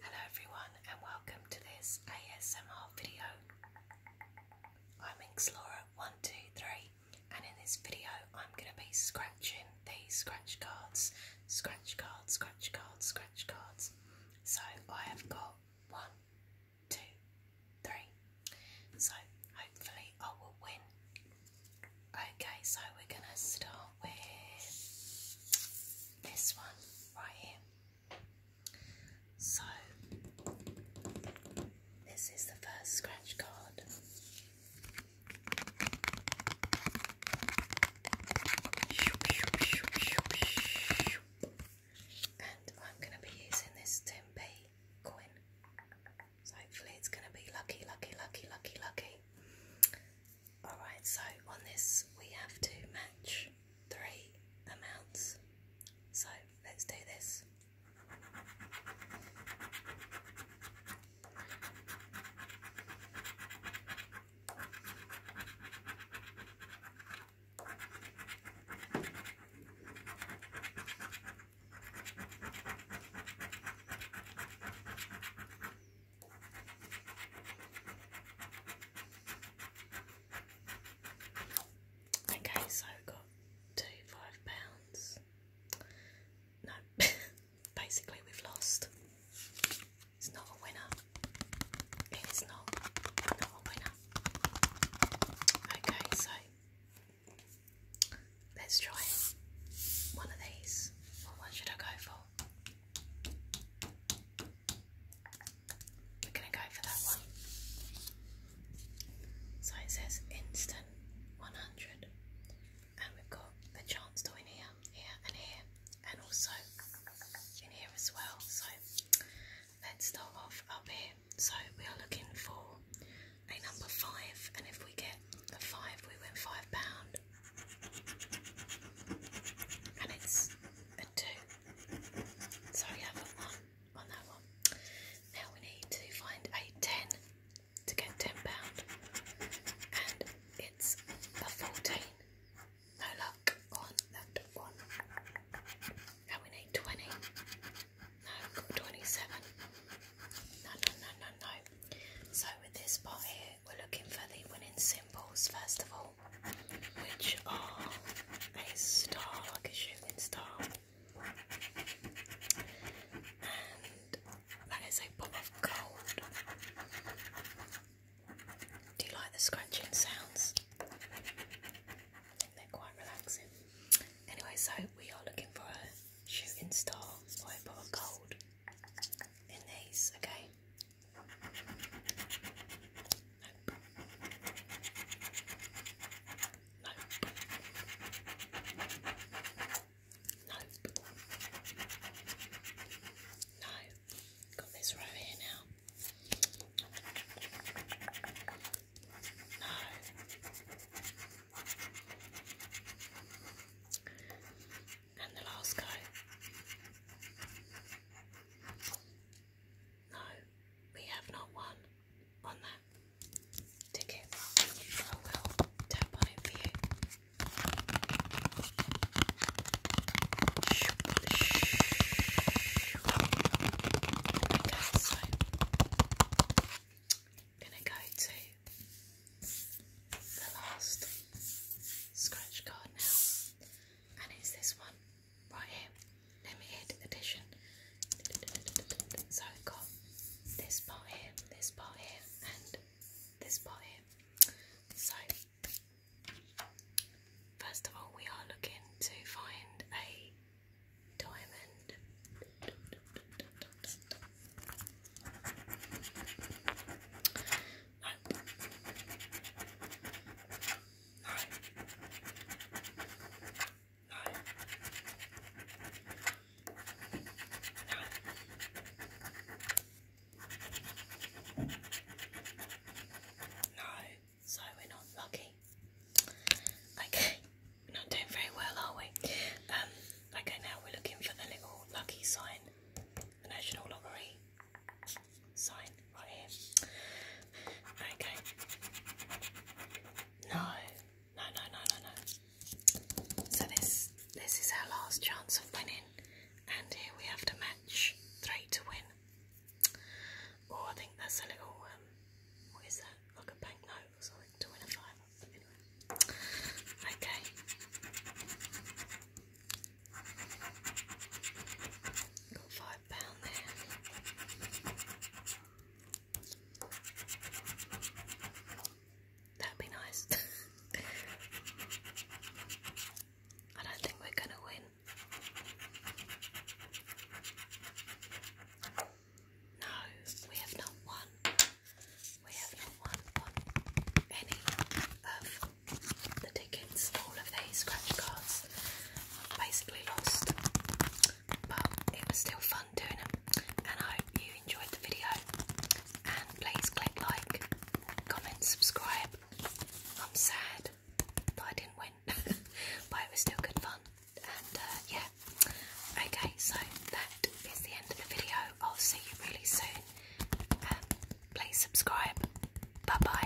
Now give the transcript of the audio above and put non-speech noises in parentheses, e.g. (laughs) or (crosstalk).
Hello everyone and welcome to this ASMR video. I'm Xlora123 and in this video I'm going to be scratching these scratch cards. Scratch cards, scratch cards, scratch cards. So I have got one, two, three. So hopefully I will win Okay, so we're going to start with this one right here. So, this is the first scratch card. And I'm going to be using this 10 coin. So hopefully it's going to be lucky, lucky, lucky, lucky, lucky. Alright, so on this we have to match three amounts. So let's do this. Okay, so we've got two five pounds. No, (laughs) basically we've lost. It's not a winner. It is not not a winner. Okay, so Let's try one of these. What should I go for? We're going to go for that one. So it says instant 100, and we've got the chance to win here, here, and here, and also in here as well. So let's start off up here. So we are looking for a number five, and if we get a five, we win five pound. And it's a two. So we one on that one. Now we need to find a ten to get ten pound, and it's a fourteen. No luck on that one. Now we need twenty no, 27. No, no, no, no, no. So with this part here, we're looking for the winning symbols first of all, which are a star, like a shooting star, and that is a pop of gold. Do you like the scratching sounds? Anyway, so we are looking for a shooting star or gold in these, okay? Nope. Nope. No. Got this row here now. No. And the last coat. No, we have not won on that ticket. I oh, will tap on it for you. shh gonna go to the last scratch card now, and it's this one right here, limited edition. So I've got this part here, this part here, and this part here. So first of all, we are looking to find a diamond. No. No. No. No. No. So we're not lucky. Okay, not doing very well, are we? Um, okay, now we're looking for the little lucky sign, the National Lottery sign right here. Okay. No, no, no, no, no, no. So this this is our last chance of winning, and here we have to match three to win. Oh, I think that's a little, um, what is that? Like a banknote or something, two Okay. five pound there. That'd be nice. (laughs) I don't think we're gonna win. No, we have not won. We have not won, any of the tickets. All of these scratch cards I've basically lost. But it was still fun doing them, And I hope you enjoyed the video. And please click like, comment, subscribe. I'm sad I didn't win. (laughs) but it was still good fun. And uh, yeah, okay, so that is the end of the video. I'll see you really soon. Um, please subscribe. Bye bye.